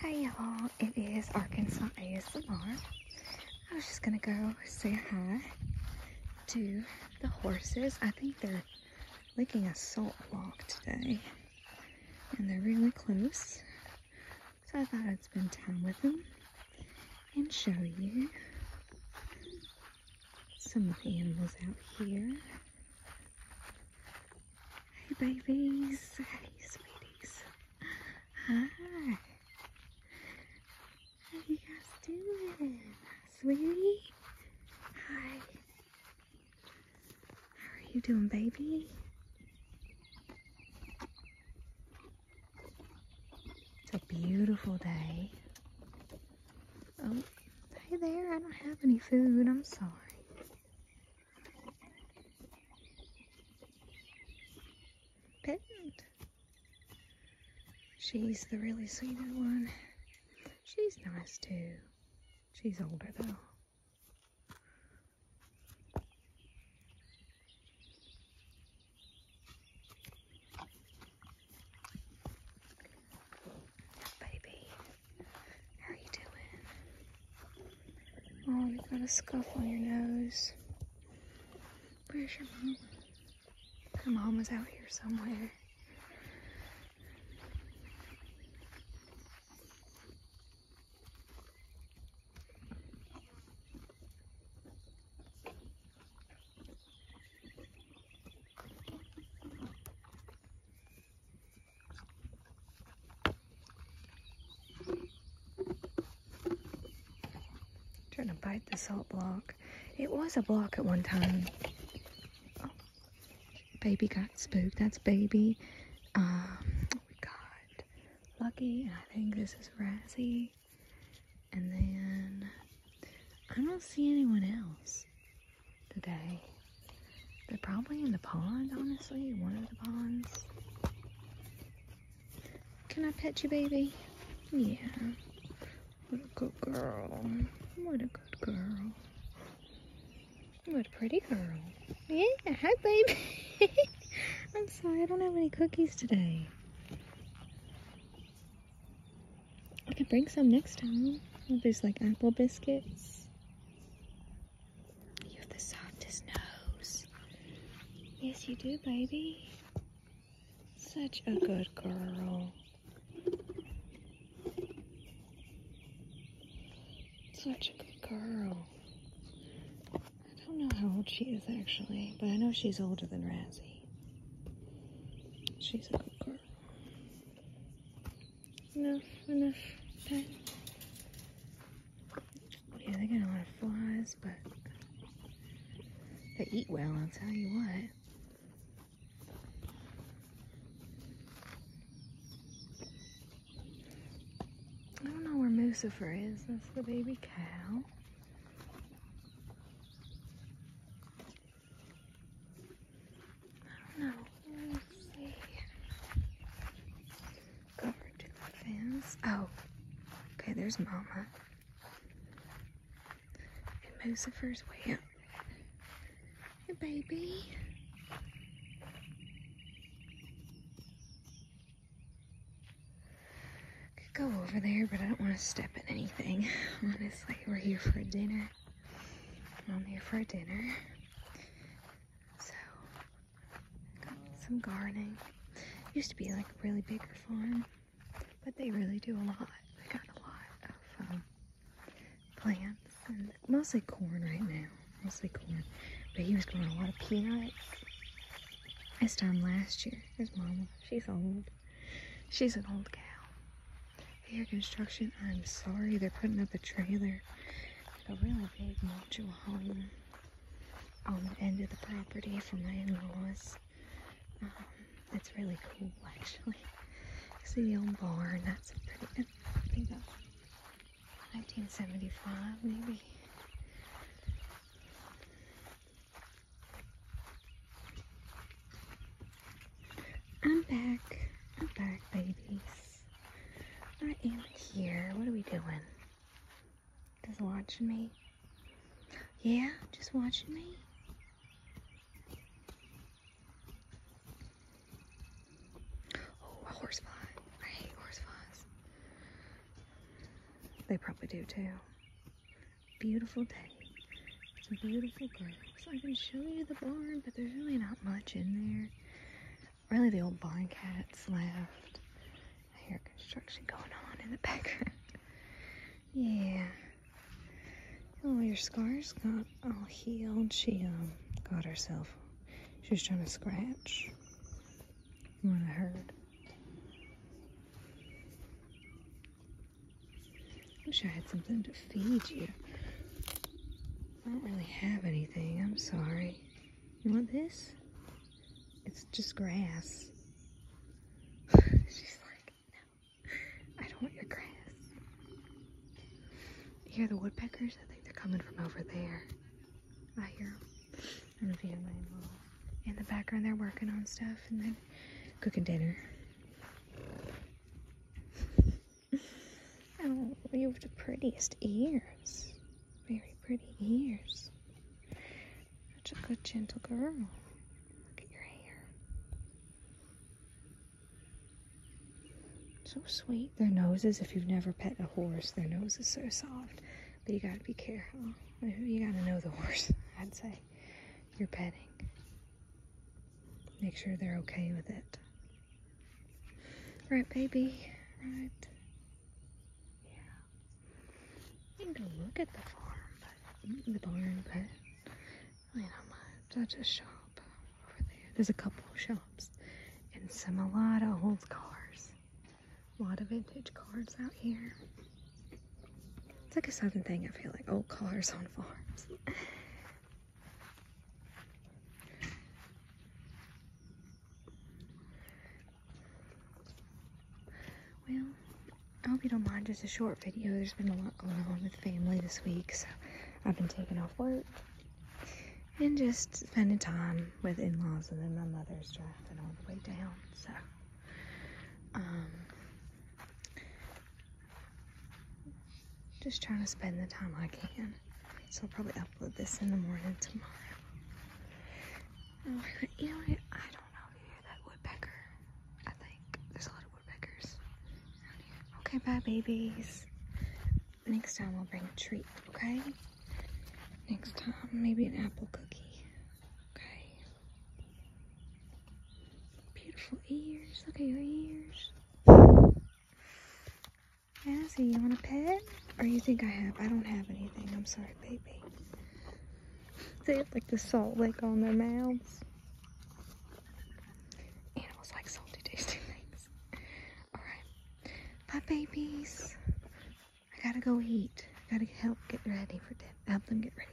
Hey y'all, it is Arkansas ASMR. I was just gonna go say hi to the horses. I think they're licking a salt block today and they're really close. So I thought I'd spend time with them and show you some of the animals out here. Hey babies. Hey sweeties. Hi. How you guys doing? Sweetie? Hi. How are you doing, baby? It's a beautiful day. Oh, hey there, I don't have any food. I'm sorry. Pet. She's the really sweet one. She's nice too. She's older though. Baby. How are you doing? Oh, you've got a scuff on your nose. Where's your mom? Her mom was out here somewhere trying to bite the salt block. It was a block at one time. Oh, baby got spooked. That's baby. Um, we got Lucky, I think this is Razzie. And then I don't see anyone else today. They're probably in the pond, honestly, one of the ponds. Can I pet you, baby? Yeah. What a good girl. What a good girl. What a pretty girl. Yeah, hi, baby. I'm sorry, I don't have any cookies today. I can bring some next time. There's like apple biscuits. You have the softest nose. Yes, you do, baby. Such a good girl. Such a good girl. I don't know how old she is actually, but I know she's older than Razzie. She's a good girl. Enough, enough Yeah, they get a lot of flies, but they eat well, I'll tell you what. I don't know where Lucifer is. That's the baby cow. I don't know. Let's see. Oh, okay. There's Mama. And Lucifer's way up. Hey, baby. Could go over there, but I don't want to step in anything. Honestly, we're here for dinner. I'm here for a dinner. So, got some gardening. Used to be like a really big farm, but they really do a lot. They got a lot of um, plants and mostly corn right now. Mostly corn. But he was growing a lot of peanuts. This time last year, his mama, she's old. She's an old gal. Here, construction, I'm sorry, they're putting up a trailer, a really big modular home on the end of the property for my in-laws. Um, it's really cool, actually. See the old barn, that's pretty, I think that's 1975, maybe. I'm back. I'm back, babies. I am here. What are we doing? Just watching me? Yeah, just watching me? Oh, a horsefly. I hate horseflies. They probably do too. Beautiful day. It's a beautiful day. So I can show you the barn, but there's really not much in there. Really the old barn cat's left. I hear construction going on in the background. yeah. Oh, your scars got all healed. She um, got herself. She's trying to scratch. When I heard. Wish I had something to feed you. I don't really have anything. I'm sorry. You want this? It's just grass. She's like, no, I don't want your grass. You hear the woodpeckers? I think they're coming from over there. I hear them. in the background. They're working on stuff and then cooking dinner. Oh, you have the prettiest ears. Very pretty ears. Such a good, gentle girl. Look at your hair. So sweet. Their noses, if you've never petted a horse, their nose is so soft. But you gotta be careful. You gotta know the horse, I'd say, you're petting. Make sure they're okay with it. Right, baby? Right. Yeah. You can go look at the farm, but the barn, but really not much. That's a shop over there. There's a couple of shops and some a lot of old cars. A lot of vintage cars out here. It's like a southern thing, I feel like old cars on farms. Well, I hope you don't mind just a short video. There's been a lot going on with family this week, so I've been taking off work and just spending time with in-laws and then my mother's driving all the way down, so um, just trying to spend the time I can. So I'll probably upload this in the morning tomorrow. Oh, you know I don't know that woodpecker. I think there's a lot of woodpeckers Okay, bye, babies. Next time we will bring a treat, okay? Next time, maybe an apple cookie. Okay. Beautiful ears. Look at your ears. Cassie, you want a pet? Or you think I have? I don't have anything. I'm sorry, baby. They have like the salt lick on their mouths. Animals like salty tasting things. Alright. Bye, babies. I gotta go eat. I gotta help get ready for them. Help them get ready.